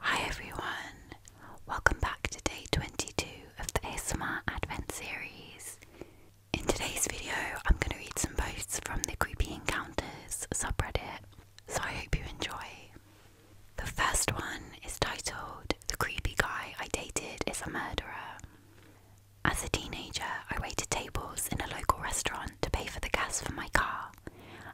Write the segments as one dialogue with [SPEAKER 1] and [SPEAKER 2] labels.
[SPEAKER 1] Hi everyone, welcome back to day 22 of the ASMR Advent series. In today's video, I'm going to read some posts from the Creepy Encounters subreddit, so I hope you enjoy. The first one is titled The Creepy Guy I Dated is a Murderer. As a teenager, I waited tables in a local restaurant to pay for the gas for my car.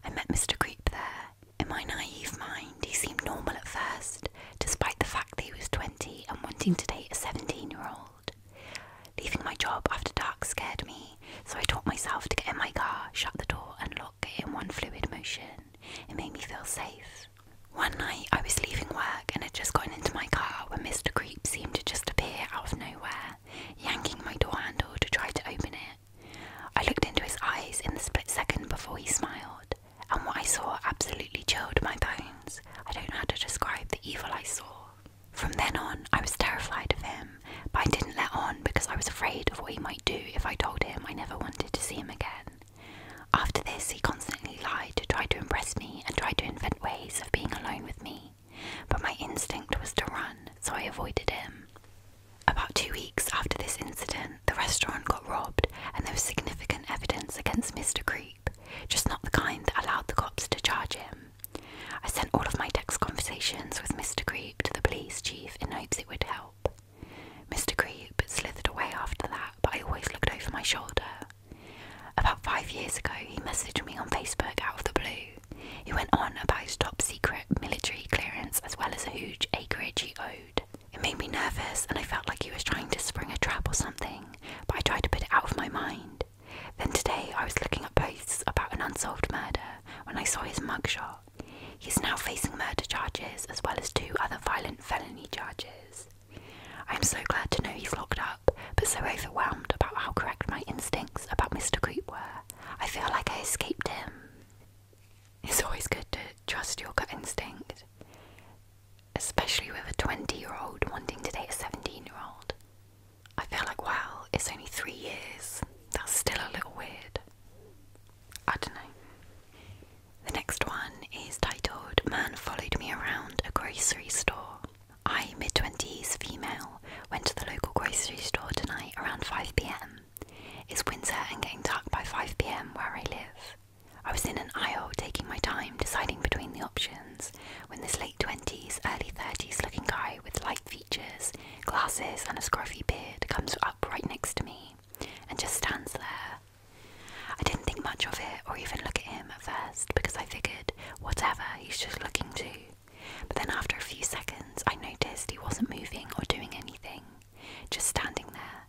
[SPEAKER 1] I met Mr. Creep there. In my naive mind, he seemed normal at first, despite the fact that he was 20 and wanting to date a 17 year old. Leaving my job after dark scared me, so I taught myself to get in my car, shut the door, and lock it in one fluid motion. It made me feel safe. One night I was leaving work and had just gotten into my car when Mr. Creep seemed to just appear out of nowhere, yanking my door handle to try to open it. I looked into his eyes in the split second before he smiled, and what I saw absolutely chilled my bones. I don't know how to describe the evil I saw. From then on, I was terrified of him, but I didn't let on because I was afraid of what he might do if I told him I never wanted to see him again. After this, he constantly lied to try to impress me and tried to invent ways of being alone with me, but my instinct was to run, so I avoided him. About two weeks after this incident, the restaurant got robbed, and there was significant evidence against Mr. Creep, just not the kind that allowed the cops to charge him. I sent all of my text conversations with Mr. Creep to the police chief in hopes it would help. Mr. Creep slithered away after that, but I always looked over my shoulder. About five years ago, he messaged me on Facebook out of the blue. He went on about his top secret military clearance as well as a huge acreage he owed. It made me nervous and I felt like he was trying to spring a trap or something, but I tried to put it out of my mind. Then today I was looking at posts about an unsolved murder when I saw his mugshot. He is now facing murder charges as well as two other violent felony charges. I'm so glad to know he's locked up, but so overwhelmed about how correct my instincts about Mr. Creep were. I feel like I escaped him. It's always good to trust your gut instinct, especially with a 20 year old wanting to date a 17 year old. I feel like, wow, it's only three years. That's still a little weird. I don't know. The next one is titled Man Followed Me Around a Grocery Store. I, mid 20s, female, went to the local grocery store tonight around 5pm. It's winter and getting dark by 5pm where I live. I was in an aisle taking my time deciding between the options when this late 20s, early 30s looking guy with light features, glasses, and a scruffy beard comes up right next to me and just stands there. I didn't think much of it or even look at him at first because I figured, whatever, he was just looking to. But then after a few seconds, I noticed he wasn't moving or doing anything, just standing there.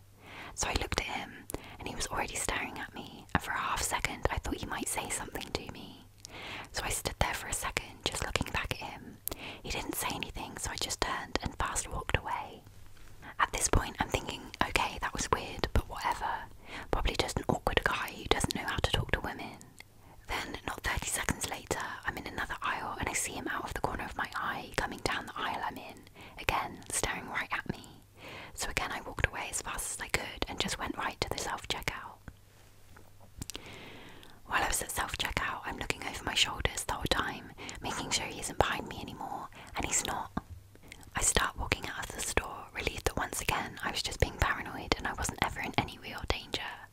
[SPEAKER 1] So I looked at him, and he was already staring at me, and for a half second, I thought he might say something to me. So I stood there for a second, just looking back at him. He didn't say anything, so I just turned and fast walked away. At this point, I'm thinking, okay, that was weird, but whatever. Probably just an awkward guy who doesn't know how to talk to women. Then, not 30 seconds later, I'm in another aisle and I see him out of the corner of my eye coming down the aisle I'm in, again staring right at me. So, again, I walked away as fast as I could and just went right to the self checkout. While I was at self checkout, I'm looking over my shoulders the whole time, making sure he isn't behind me anymore, and he's not. I start walking out of the store, relieved that once again I was just being paranoid and I wasn't ever in any real danger.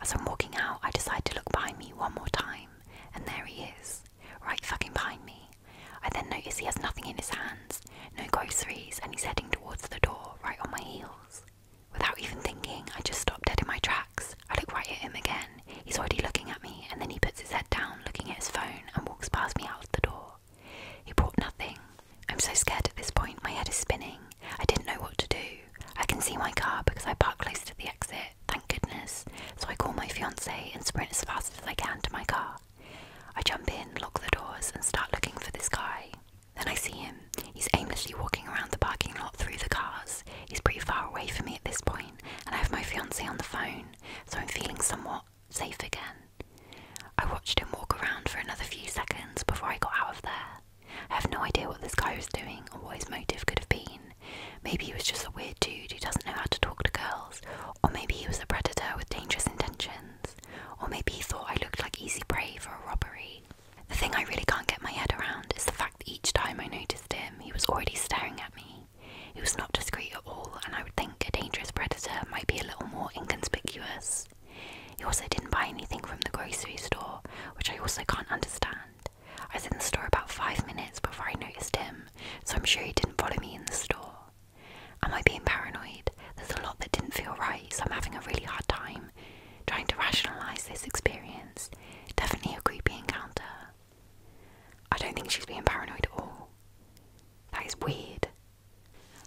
[SPEAKER 1] As I'm walking out, I decide to look behind me one more time, and there he is, right fucking behind me. I then notice he has nothing in his hands, no groceries, and he's heading towards the door, right on my heels. Without even thinking, I just stop dead in my tracks. I look right at him again. He's already looking at me, and then he puts his head down, looking at his phone, and walks past me out of the door. He brought nothing. I'm so scared at this point, my head is spinning. I didn't know what to do. I can see my car because I park close to the exit, thank goodness. So I call my fiance and sprint as fast as I can to my car. I jump in, lock the doors, and start looking for this guy. Then I see him. He's aimlessly walking around the parking lot through the cars. He's pretty far away from me at this point, and I have my fiance on the phone, so I'm feeling somewhat safe again. I watched him walk around for another few seconds before I got out of there. I have no idea what this guy was doing or what his motive could have been. Maybe he was just a weird dude who doesn't know how to talk to girls, or maybe he was a predator with dangerous intentions, or maybe he thought I looked like easy prey for a robbery. The thing I really can't get my head around is the fact that each time I noticed him, he was already staring at me. He was not discreet at all, and I would think a dangerous predator might be a little more inconspicuous. He also didn't buy anything from the grocery store, which I also can't understand. I was in the store about five minutes before I noticed him, so I'm sure he didn't follow me in the store. Am I being paranoid? There's a lot that didn't feel right, so I'm having a really hard time trying to rationalise this experience. Definitely a creepy encounter. I don't think she's being paranoid at all. That is weird.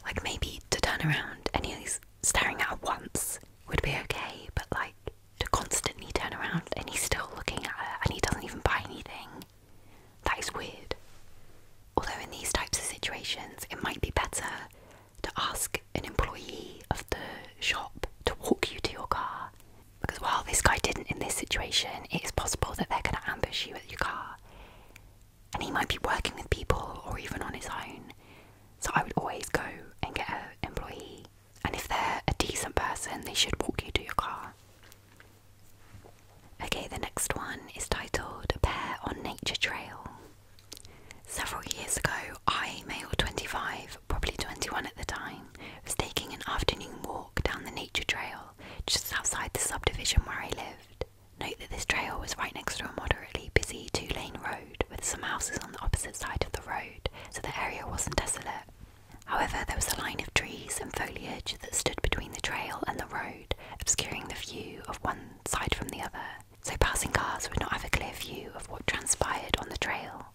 [SPEAKER 1] Like, maybe to turn around and he's staring at once would be okay, but like, to constantly turn around and he's still looking at her and he doesn't even buy anything, that is weird. Although, in these types of situations, it might be better to ask an employee of the shop to walk you to your car. Because while this guy didn't in this situation, it is possible that they're going to ambush you at your car and he might be working with people or even on his own. So I would always go and get an employee, and if they're a decent person, they should walk you to your car. Okay, the next one is titled Pair on Nature Trail. Several years ago, I, male 25, probably 21 at the time, was taking an afternoon walk down the nature trail just outside the subdivision where I lived. Note that this trail was right next to a moderately busy two lane road with some houses on the opposite side of the road, so the area wasn't desolate. However, there was a line of trees and foliage that stood between the trail and the road, obscuring the view of one side from the other, so passing cars would not have a clear view of what transpired on the trail.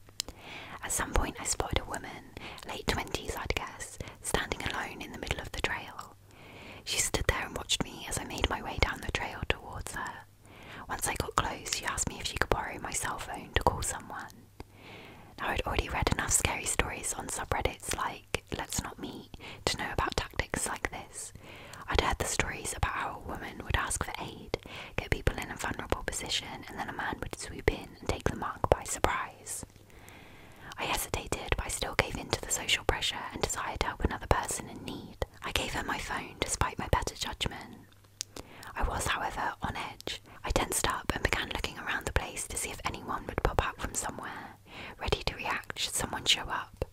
[SPEAKER 1] At some point, I spotted a woman, late 20s I'd guess, standing alone in the middle of the trail. She stood there and watched me as I made my way down the trail towards her. Once I got close, she asked me if she could borrow my cell phone to call someone. i had already read enough scary stories on subreddits like Let's Not Meet to know about tactics like this. I'd heard the stories about how a woman would ask for aid, get people in a vulnerable position, and then a man would swoop in and take the mark by surprise. I hesitated, but I still gave in to the social pressure and desire to help another person in need. I gave her my phone despite my better judgment. I was, however, on edge. I tensed up and began looking around the place to see if anyone would pop out from somewhere, ready to react should someone show up.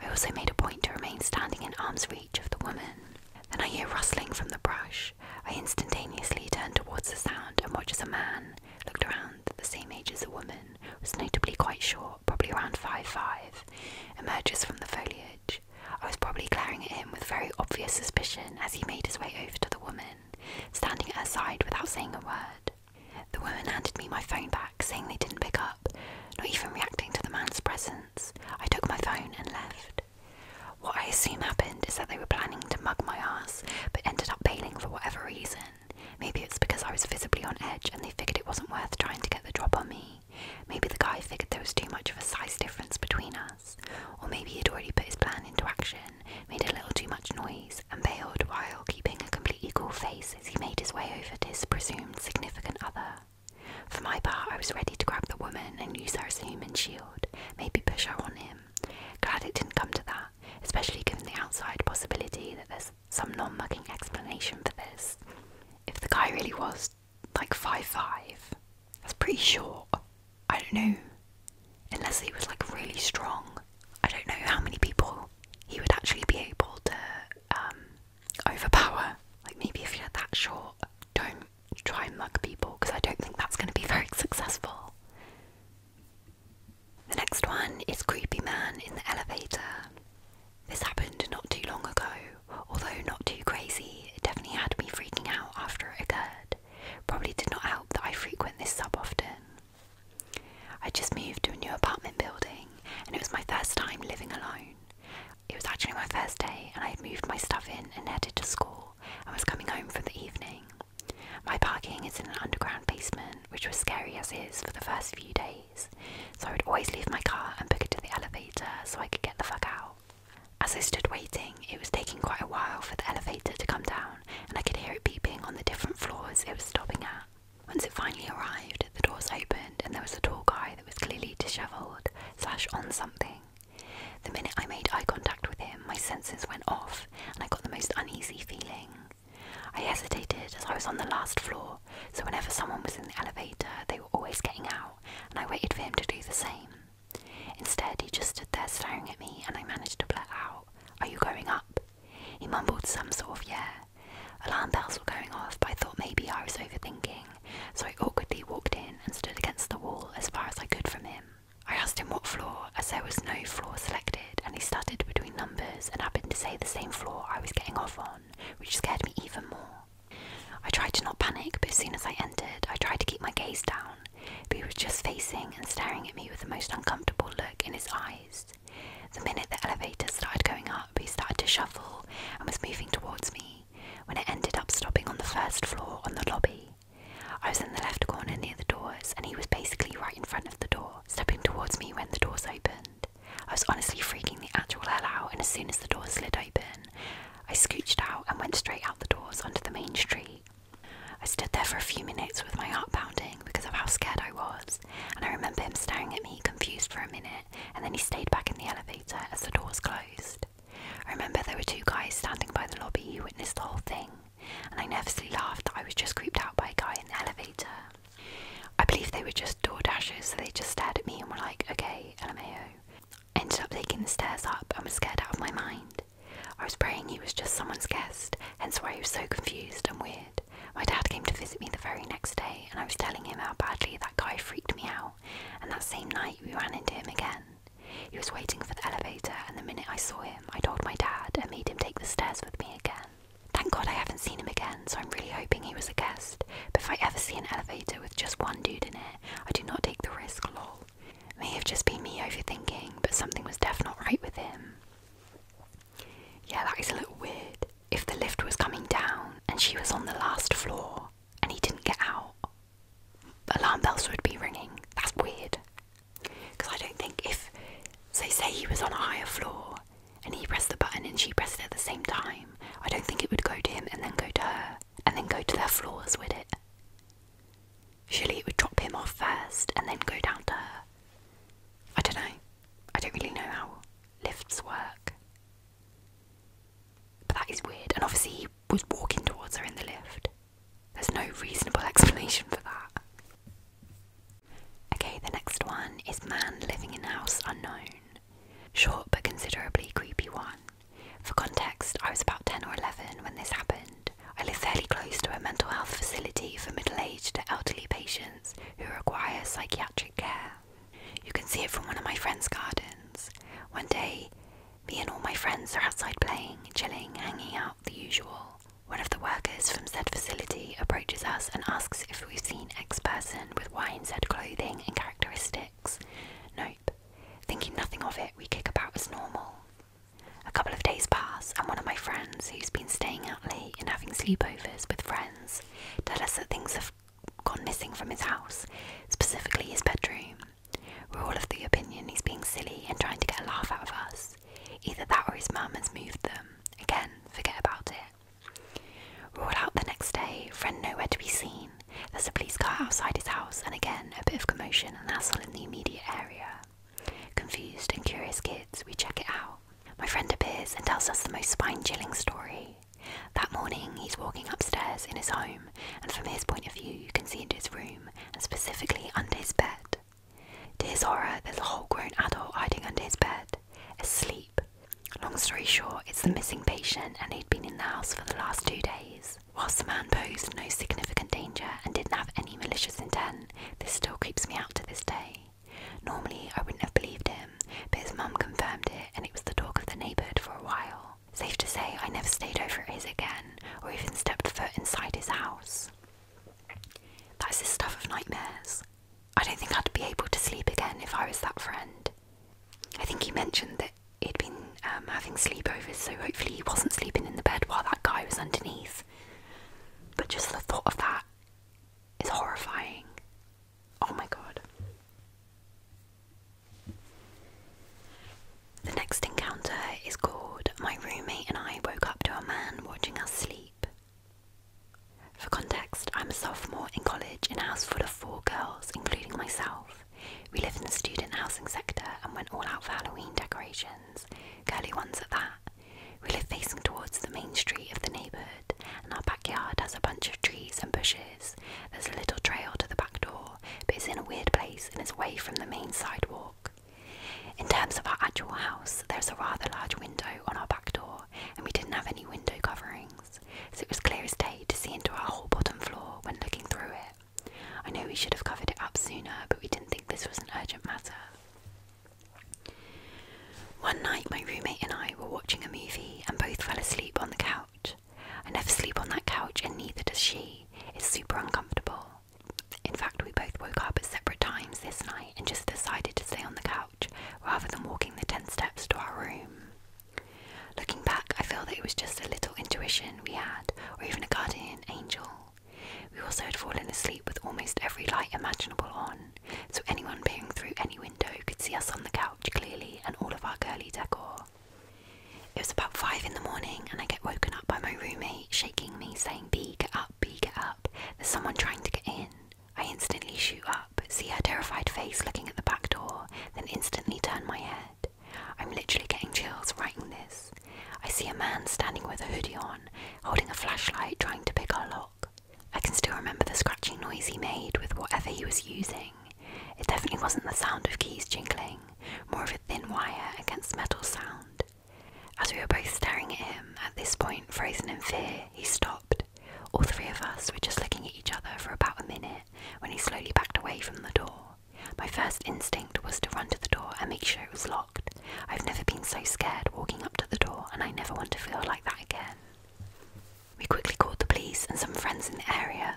[SPEAKER 1] I also made a point to remain standing in arm's reach of the woman. Then I hear rustling from the brush. I instantaneously turn towards the sound and watch as a man looked around the same age as the woman, was notably quite short, probably around five five, emerges from the foliage. I was probably glaring at him with very obvious suspicion as he made his way over to the woman, standing at her side without saying a word. The woman handed me my phone back, saying they didn't pick up, not even reacting to the man's presence. I took my phone and left. What I assume happened is that they were planning to mug my ass but ended up bailing for whatever reason. Maybe it's because I was visibly on edge and they figured it wasn't worth trying to get the drop on me. Maybe the guy figured there was too much of a size difference between us. Or maybe he'd already put his plan into action, made a little too much noise, and bailed while keeping a completely cool face as he made his way over to his presumed significant other. For my part, I was ready to grab the woman and use her as a human shield, maybe push her on him, Glad it didn't come to that, especially given the outside possibility that there's some non mugging explanation for this. If the guy really was like five five, that's pretty short. I don't know. Unless he was like really strong, I don't know how many people he would actually be able to um, overpower. Like maybe if you're that short, don't try and mug people because I don't think that's going to be very successful. The next one is Creepy Man in the Elevator. This happened not too long ago, although not too crazy, it definitely had me freaking out after it occurred. Probably did not help that I frequent this sub often. I just moved to a new apartment building and it was my first time living alone. It was actually my first day and I had moved my stuff in and headed to school I was coming home from the evening. My parking is in an underground basement, which was scary as is for the first few days, so I would always leave my car and book it to the elevator so I could get the fuck out. As I stood waiting, it was taking quite a while for the elevator to come down, and I could hear it beeping on the different floors it was stopping at. Once it finally arrived, the doors opened and there was a tall guy that was clearly dishevelled, slash on something. The minute I made eye contact with him, my senses went off and I got the most uneasy feeling. I hesitated as I was on the last floor, so whenever someone was in the elevator, they were always getting out, and I waited for him to do the same. Instead, he just stood there staring at me, and I managed to blurt out, Are you going up? He mumbled some sort of yeah. Alarm bells were going off, but I thought maybe I was overthinking, so I awkwardly walked in and stood against the wall as far as I could from him. I asked him what floor, as there was no floor selected, and he stuttered between numbers and happened to say the same floor I was getting off on, which scared me even more. I tried to not panic, but as soon as I entered, I tried to keep my gaze down, but he was just facing and staring at me with the most uncomfortable look in his eyes. The minute the elevator started going up, he started to shuffle and was moving towards me, when it ended up stopping on the first floor on the lobby. I was in the left corner near the doors, and he was basically right in front of the door, stepping towards me when the doors opened. I was honestly freaking the actual hell out, and as soon as the door slid open, I scooched out and went straight out the doors onto the main street. I stood there for a few minutes with my heart pounding because of how scared I was, and I remember him staring at me confused for a minute, and then he stayed back in the elevator as the doors closed. I remember there were two guys standing by the lobby who witnessed the whole thing, and I nervously laughed that I was just creeped out by a guy in the elevator. I believe they were just door dashers, so they just stared at me and were like, okay, LMAO. I ended up taking the stairs up and was scared out of my mind. I was praying he was just someone's guest, hence why he was so confused and weird. My dad came to visit me the very next day, and I was telling him how badly that guy freaked me out, and that same night we ran into him again. He was waiting for the elevator, and the minute I saw him, I told my dad and made him take the stairs with me again. Thank God I haven't seen him again, so I'm really hoping he was a guest. But if I ever see an elevator with just one dude in it, I do not take the risk, lol. May have just been me overthinking, but something was definitely not right with him. Yeah, that is a little weird. If the lift was coming down and she was on the last floor and he didn't get out, alarm bells would be ringing. That's weird. Because I don't think if, so say he was on a higher floor and he pressed the button and she pressed it at the same time, I don't think it would go to him and then go to her and then go to their floors, would it? Surely it would drop him off first and then go down to her. I don't know. I don't really know how lifts work. But that is weird. And obviously, he was walking towards her in the lift. There's no reasonable explanation for that. Okay, the next one is Man Living in House Unknown. Short but considerably creepy one. For context, I was about 10 or 11 when this happened. I lived fairly close to a mental health facility for middle aged to elderly patients who require psychiatric care. You can see it from one of my friend's gardens. One day, me and all my friends are outside playing, chilling, hanging out, the usual. One of the workers from said facility approaches us and asks if we've seen X person with Y said clothing and characteristics. Nope. Thinking nothing of it, we kick about as normal. A couple of days pass, and one of my friends, who's been staying out late and having sleepovers with friends, tells us that things have gone missing from his house, specifically his bedroom. We're all of the opinion he's being silly and trying to get a laugh out of us. Either that or his mum has moved them. Again, forget about it. We're out the next day, friend nowhere to be seen. There's a police car outside his house, and again, a bit of commotion and hassle in the immediate area. Confused and curious kids, we check it out. My friend appears and tells us the most spine chilling story. That morning, he's walking upstairs in his home and from his point of view, you can see into his room, and specifically under his bed. To his horror, there's a whole grown adult hiding under his bed, asleep. Long story short, it's the missing patient, and he'd been in the house for the last two days. Whilst the man posed no significant danger and didn't have any malicious intent, this still creeps me out to this day. Normally, I wouldn't have believed him, but his mum confirmed it, and it was the talk of the neighbourhood for a while. Safe to say, I never stayed over his again, or even stepped foot inside his house. That's the stuff of nightmares. I don't think I'd be able to sleep again if I was that friend. I think he mentioned that he'd been um, having sleepovers, so hopefully he wasn't sleeping in the bed while that guy was underneath. But just the thought of that is horrifying. Oh my god. The next encounter is called My Roommate and I Woke Up to a Man Watching Us Sleep. For context, I'm a sophomore in college in a house full of four girls, including myself. We live in the student housing sector and went all out for Halloween decorations, girly ones at that. We live facing towards the main street of the neighbourhood, and our backyard has a bunch of trees and bushes. There's a little trail to the back door, but it's in a weird place and it's away from the main sidewalk. In terms of our actual house, there's a rather large window on our back door, and we didn't have any window coverings, so it was clear as day to see into our whole bottom floor when looking through it. I know we should have covered it up sooner, but we didn't think this was an urgent matter. One night, my roommate and I were watching a movie and both fell asleep on the couch. I never sleep on that couch, and neither does she. It's super uncomfortable. In fact, we both woke up at separate times this night and just decided to stay on the couch rather than walking the 10 steps to our room. Looking back, I feel that it was just a little intuition we had, or even a guardian angel. We also had fallen asleep with almost every light imaginable on, so anyone peering through any window could see us on the couch clearly and all of our girly decor. It was about five in the morning, and I get woken up by my roommate shaking me, saying, B, get up, B, get up. There's someone trying to get in. I instantly shoot up, see her terrified face looking at the back door, then instantly turn my head. I'm literally getting chills writing this. I see a man standing with a hoodie on, holding a flashlight, trying to pick our lock. I can still remember the scratching noise he made with whatever he was using. It definitely wasn't the sound of keys jingling more of a thin wire against metal sound. As we were both staring at him, at this point, frozen in fear, he stopped. All three of us were just looking at each other for about a minute when he slowly backed away from the door. My first instinct was to run to the door and make sure it was locked. I've never been so scared walking up to the door, and I never want to feel like that again. We quickly called the police and some friends in the area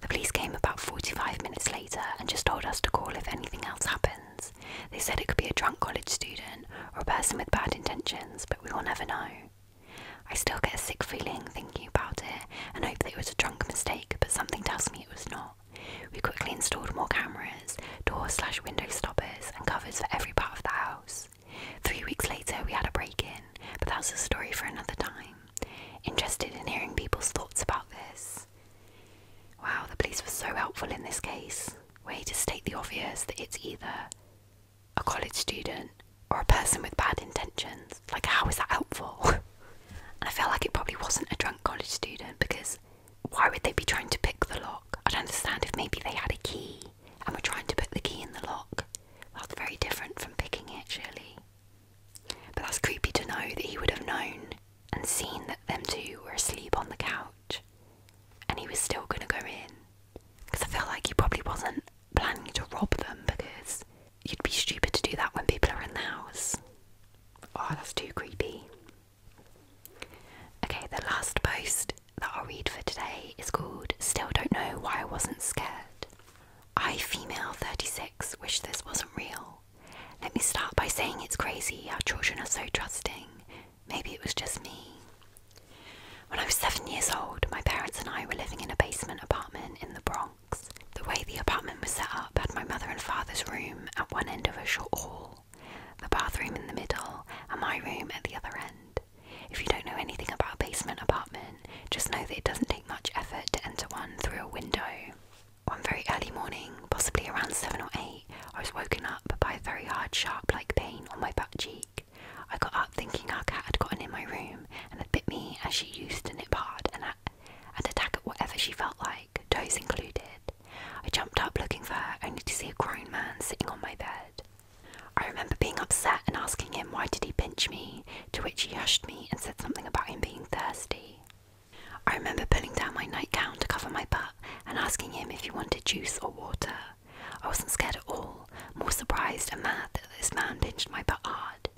[SPEAKER 1] the police came about 45 minutes later and just told us to call if anything else happens. They said it could be a drunk college student or a person with bad intentions, but we will never know. I still get a sick feeling thinking about it and hope that it was a drunk mistake, but something tells me it was not. We quickly installed more cameras, door slash window stoppers, and covers for every part of the house. Three weeks later, we had a break in, but that's a story for another time. Interested in hearing people's thoughts about this? Wow, the police were so helpful in this case. Way to state the obvious that it's either a college student or a person with bad intentions. Like, how is that helpful? and I feel like it probably wasn't a drunk college student because why would they be trying to pick the lock? I'd understand if maybe they had a key and were trying to put the key in the lock. That's very different from picking it, surely. But that's creepy to know that he would have known and seen that them two were asleep on the couch and he was still going to go in. Because I feel like he probably wasn't planning to rob them because you'd be stupid to do that when people are in the house. Oh, that's too creepy. Okay, the last post that i read for today is called Still Don't Know Why I Wasn't Scared. I, female 36, wish this wasn't real. Let me start by saying it's crazy our children are so trusting. Maybe it was just me. When I was seven years old, my parents and I were living in a basement apartment in the Bronx. The way the apartment was set up had my mother and father's room at one end of a short hall, the bathroom in the middle, and my room at the other end. If you don't know anything about a basement apartment, just know that it doesn't take much effort to enter one through a window one very early morning, possibly around seven or eight, I was woken up by a very hard, sharp like pain on my back cheek. I got up thinking our cat had gotten in my room and had bit me as she used to nip hard and, at, and attack at whatever she felt like, toes included. I jumped up looking for her only to see a grown man sitting on my bed. I remember being upset and asking him why did he pinch me, to which he hushed me and said something about him being thirsty. I remember pulling down my nightgown to cover my butt and asking him if he wanted juice or water. I wasn't scared at all, more surprised and mad that this man pinched my butt hard.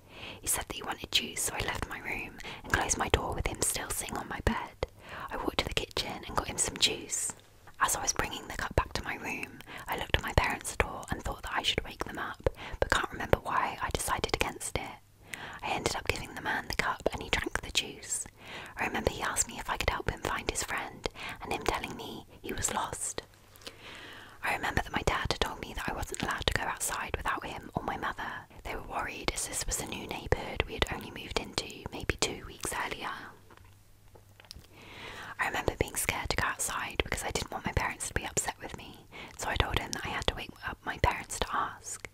[SPEAKER 1] He said that he wanted juice, so I left my room and closed my door with him still sitting on my bed. I walked to the kitchen and got him some juice. As I was bringing the cup back to my room, I looked at my parents' door and thought that I should wake them up, but can't remember why I decided against it. I ended up giving the man the cup and he drank the juice. I remember he asked me if I could help him find his friend and him telling me he was lost. I remember that my dad had told me that I wasn't allowed to go outside without him or my mother. They were worried as this was a new neighbourhood we had only moved into maybe two weeks earlier. I remember being scared to go outside because I didn't want my parents to be upset with me, so I told him that I had to wait my parents to ask.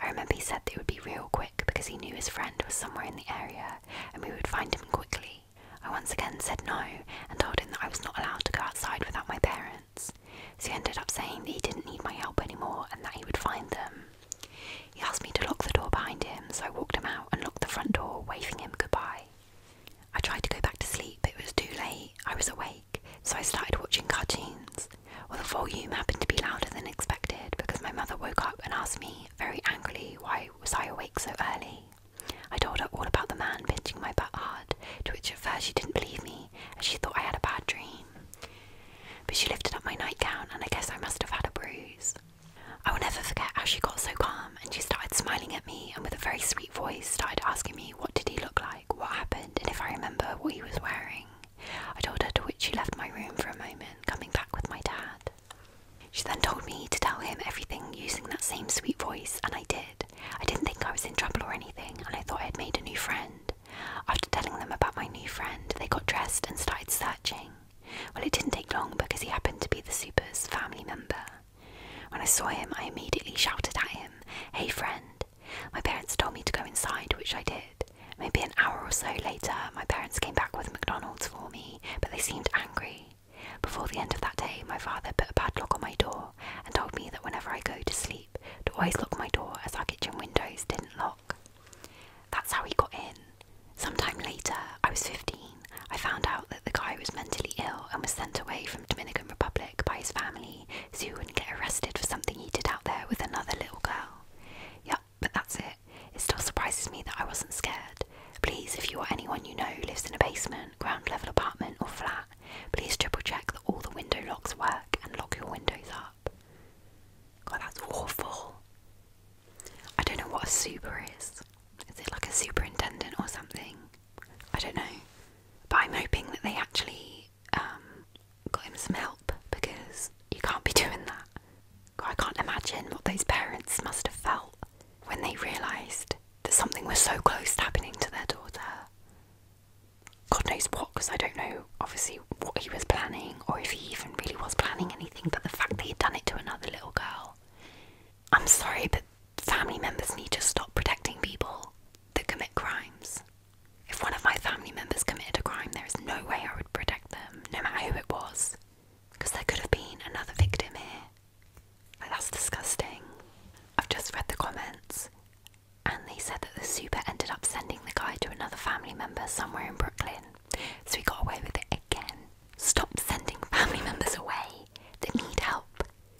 [SPEAKER 1] I remember he said they would be real quick because he knew his friend was somewhere in the area and we would find him quickly. I once again said no and told him that I was not allowed to go outside without my parents. So he ended up saying that he didn't need my help anymore and that he would find them. He asked me to lock the door behind him, so I walked him out and locked the front door, waving him goodbye. I tried to go back to sleep, but it was too late. I was awake so I started watching cartoons. Well, the volume happened to be louder than expected because my mother woke up and asked me very angrily why was I awake so early. I told her all about the man pinching my butt hard, to which at first she didn't believe me as she thought I had a bad dream. But she lifted up my nightgown and I guess I must have had a bruise. I will never forget how she got so calm and she started smiling at me and with a very sweet voice started asking me what did he look like what happened and if I remember what he was wearing. I told her to which she left my room for a moment, coming back with my dad. She then told me to tell him everything using that same sweet voice, and I did. I didn't think I was in trouble or anything, and I thought I had made a new friend. After telling them about my new friend, they got dressed and started searching. Well, it didn't take long because he happened to be the super's family member. When I saw him, I immediately shouted at him, Hey friend, my parents told me to go inside, which I did. Maybe an hour or so later, my parents came back with McDonald's for me, but they seemed angry. Before the end of that day, my father put a padlock on my door and told me that whenever I go to sleep, to always lock my door as our kitchen windows didn't lock. That's how he got in. Sometime later, I was 15, I found out that the guy was mentally ill and was sent away from Dominican Republic by his family so he wouldn't get arrested for something he did out there with another little girl. Yep, but that's it. It still surprises me that I wasn't scared. Please, if you or anyone you know who lives in a basement, ground level apartment, or flat, please triple check that all the window locks work and lock your windows up. God, that's awful. I don't know what a super is. Is it like a superintendent or something? I don't know. But I'm hoping that they actually um, got him some help because you can't be doing that. I can't imagine what those parents must have felt when they realised that something was so close to happening to their daughter. God knows what, because I don't know, obviously, what he was planning or if he even really was planning anything, but the fact that he'd done it to another little girl. I'm sorry, but family members need to stop protecting people that commit crimes. If one of my family members committed a crime, there is no way I would protect them, no matter who it was, because there could have been another victim here. Like, that's disgusting. I've just read the comments, and they said that the super ended up sending the guy to another family member somewhere in Brooklyn, so he got away with it again. Stop sending family members away that need help.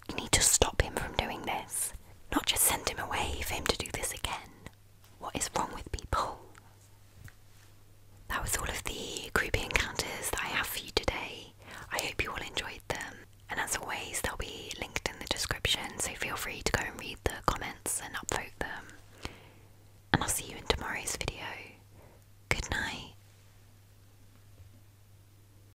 [SPEAKER 1] You need to stop him from doing this, not just send him away for him to do this again. What is wrong with people? That was all of the creepy encounters that I have for you today. I hope you all enjoyed them, and as always, they'll be linked in the description, so feel free to go and read the comments and upvote them. And I'll see you in tomorrow's video. Good night.